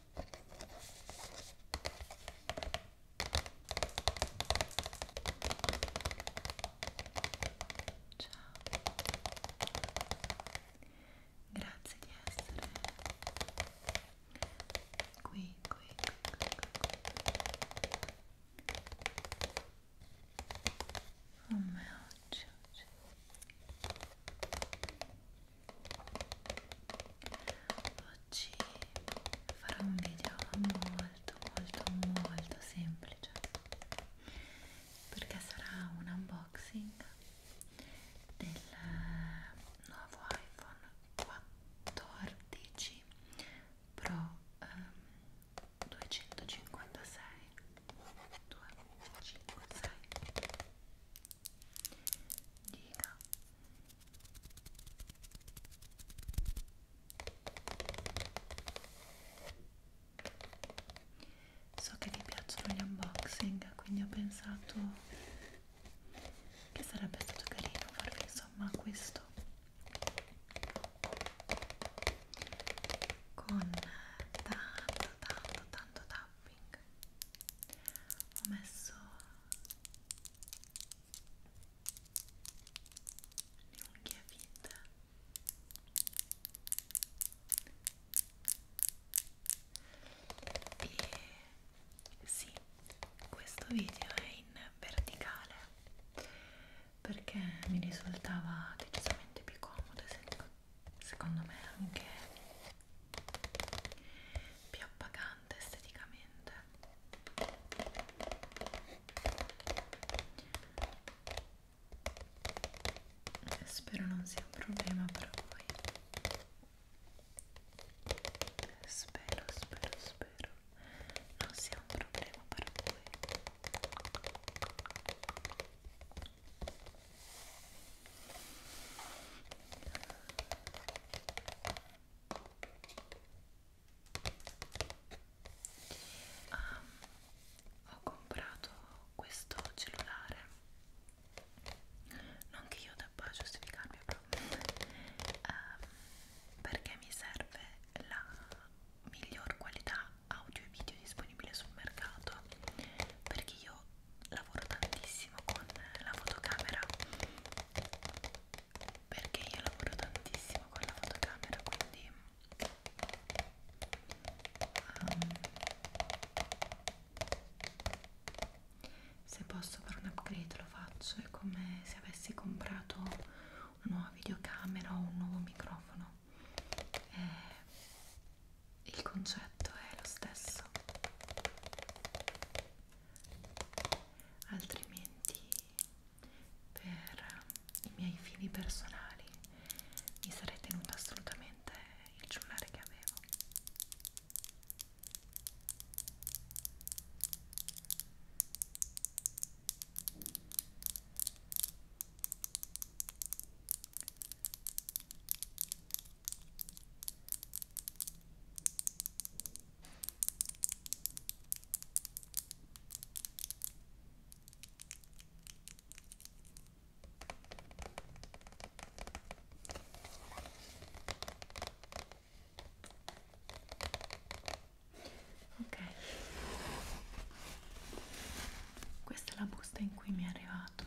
Ciao, grazie di essere qui, qui, qui, qui, qui. Oh mio Dio. Oggi farò un video molto molto molto semplice perché sarà un unboxing del nuovo iPhone 14 Pro ehm, 256 256 dica so che vi piacciono gli unboxing quindi ho pensato che sarebbe stato carino farvi insomma questo con tanto tanto tanto tapping tac ho messo le unghie finte e sì questo video è in verticale perché mi risultava decisamente più comodo e senza secondo me anche più appagante esteticamente spero non sia un problema per voi spero spero spero non sia un problema per voi Ah, ho comprato questo cellulare non che io debba giustificarmi proprio um, ehm, perché mi serve la miglior qualità audio e video disponibile sul mercato perché io lavoro tantissimo con la fotocamera perché io lavoro tantissimo con la fotocamera quindi um, se posso fare un upgrade lo faccio è come se avessi comprato una nuova videocamera o un nuovo microfono è eh, il concetto è lo stesso altrimenti per i miei fini personali mi sarei tenuta assolutamente il giullare che avevo Ok, questa è la busta in cui mi è arrivato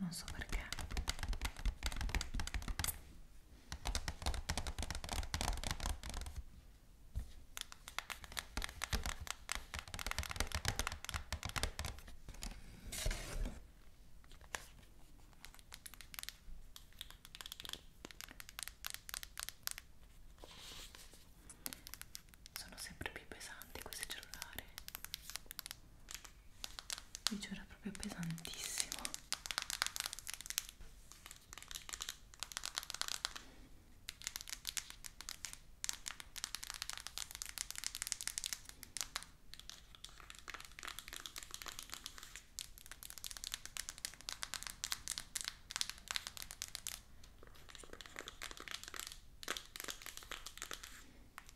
non so perché sono sempre più pesanti questi cellulari vi giuro è proprio pesantissimo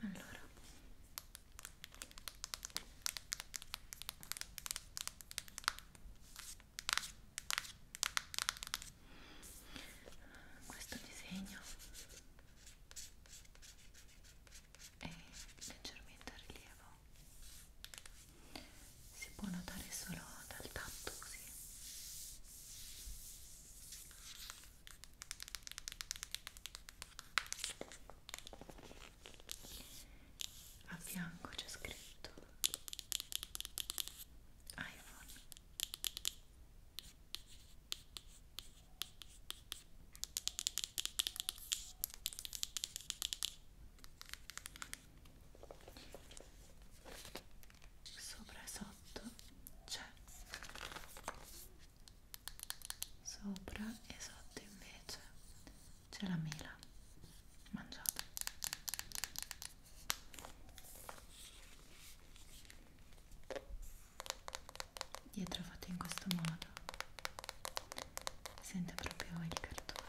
allora questo disegno è leggermente a rilievo si può notare solo dal tatto così a fianco c'è scritto iPhone sopra sopra sotto c'è sopra e sotto invece c'è la mela mangiata dietro fatto in questo modo sente proprio il cartone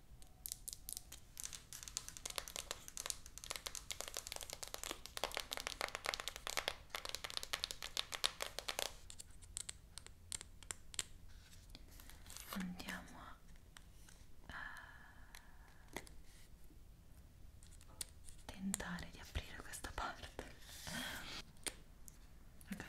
Andiamo a eh, tentare di aprire questa parte. Ok.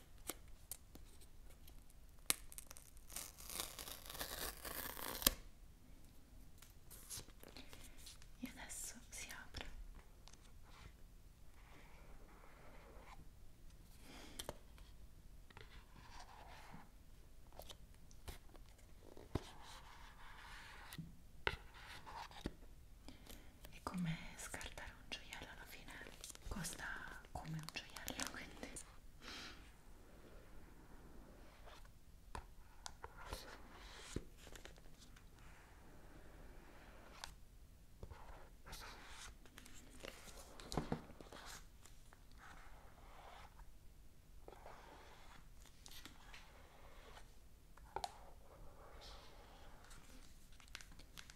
e adesso si apre è come scartare un gioiello alla fine costa come un gioiello quindi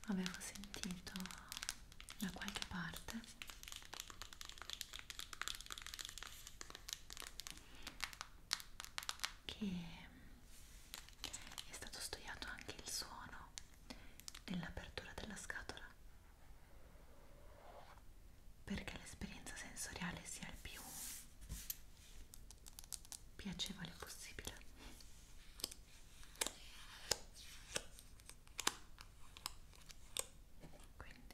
avevo sentito da qualche parte che è stato studiato anche il suono dell'apertura della scatola perché l'esperienza sensoriale sia il più piacevole possibile quindi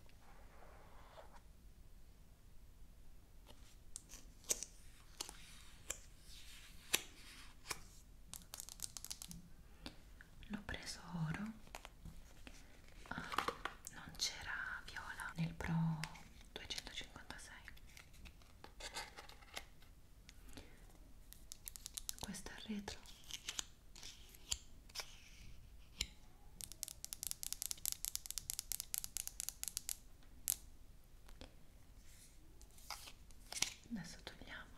l'ho preso oro ah, non c'era viola nel pro 256 questo è il retro adesso togliamo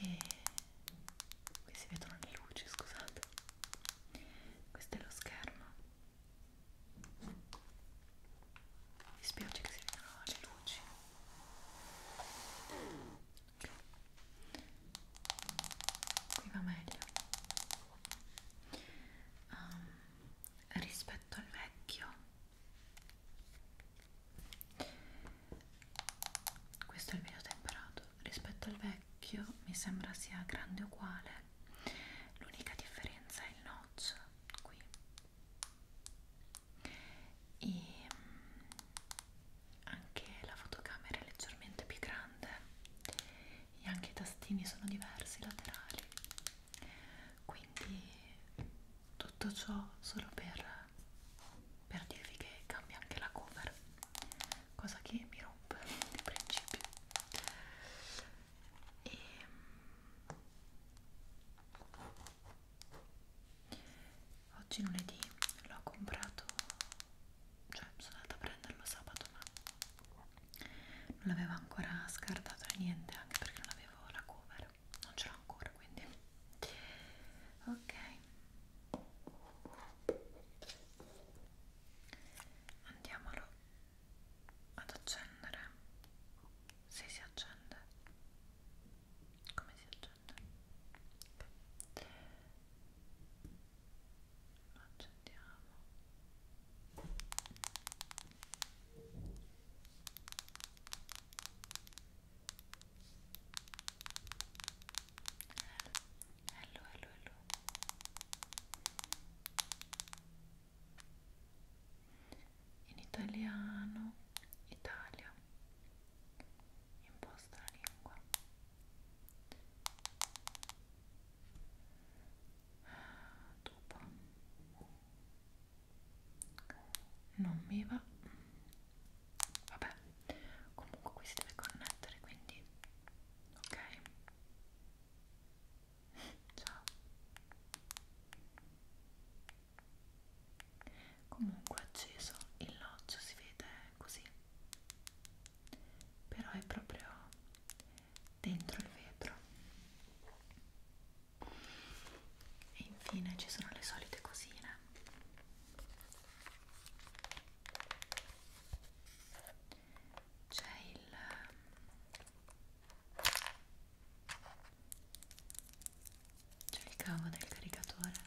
e qui si vedono le luci, scusate. Questo è lo schermo. Mi spiace che si vedano le luci. Okay qui va meglio um, rispetto al vecchio questo è il video temperato rispetto al vecchio mi sembra sia grande uguale l'unica differenza è il notch qui e anche la fotocamera è leggermente più grande e anche i tastini sono diversi laterali quindi tutto ciò solo per, per dirvi che cambia anche la cover cosa che mi rompe di principio e ehm, oggi lunedì l'ho comprato cioè sono andata a prenderlo sabato ma non l'avevo ancora scartato né niente anche perché non avevo la cover non ce l'ho ancora quindi ok andiamolo ad accendere se si accende come si accende lo accendiamo hello hello hello in italiano Italia imposta la lingua dopo non mi va vabbè comunque qui si deve connettere quindi ok ciao comunque acceso il logio si vede così però è proprio dentro il vetro e infine ci sono le solite cosine c'è il c'è il cavo del caricatore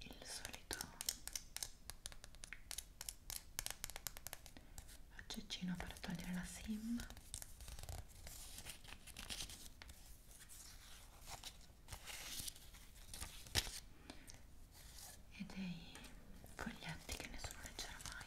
il solito aggeggino per togliere la sim e dei foglietti che nessuno leggerà mai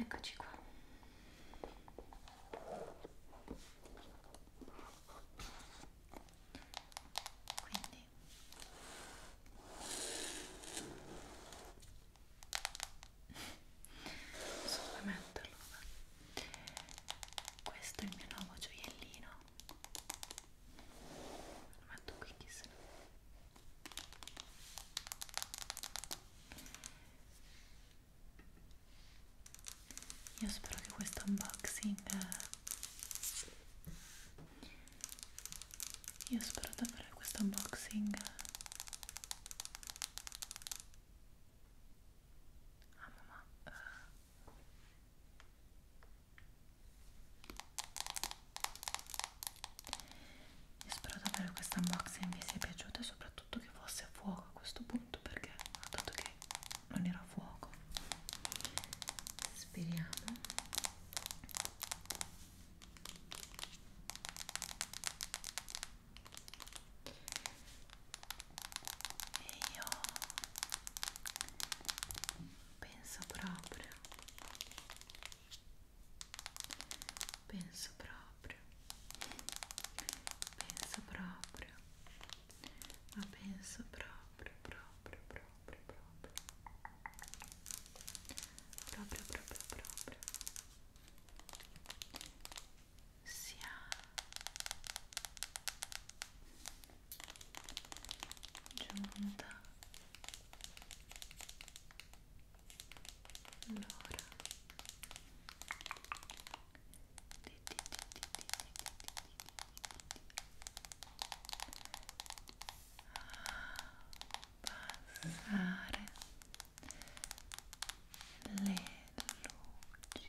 Eccoci qua. Quindi solamente allora questo è il mio nuovo gioiellino lo metto qui chissà io spero che questo unboxing io spero davvero che questo unboxing a mamma uh, io spero davvero che questo unboxing vi sia piaciuto e soprattutto che fosse a fuoco a questo punto perché ho detto che non era a fuoco. Speriamo e io penso proprio penso proprio penso proprio ma penso proprio proprio proprio proprio proprio proprio proprio sia giunta l'ora passare le luci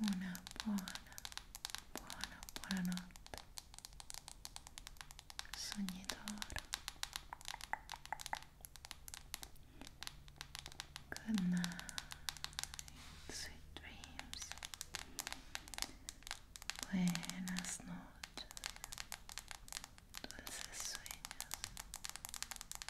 una buona, buona, buonanotte. Sogni d'oro. Good night, sweet dreams. Buenas noches, dulces sueños.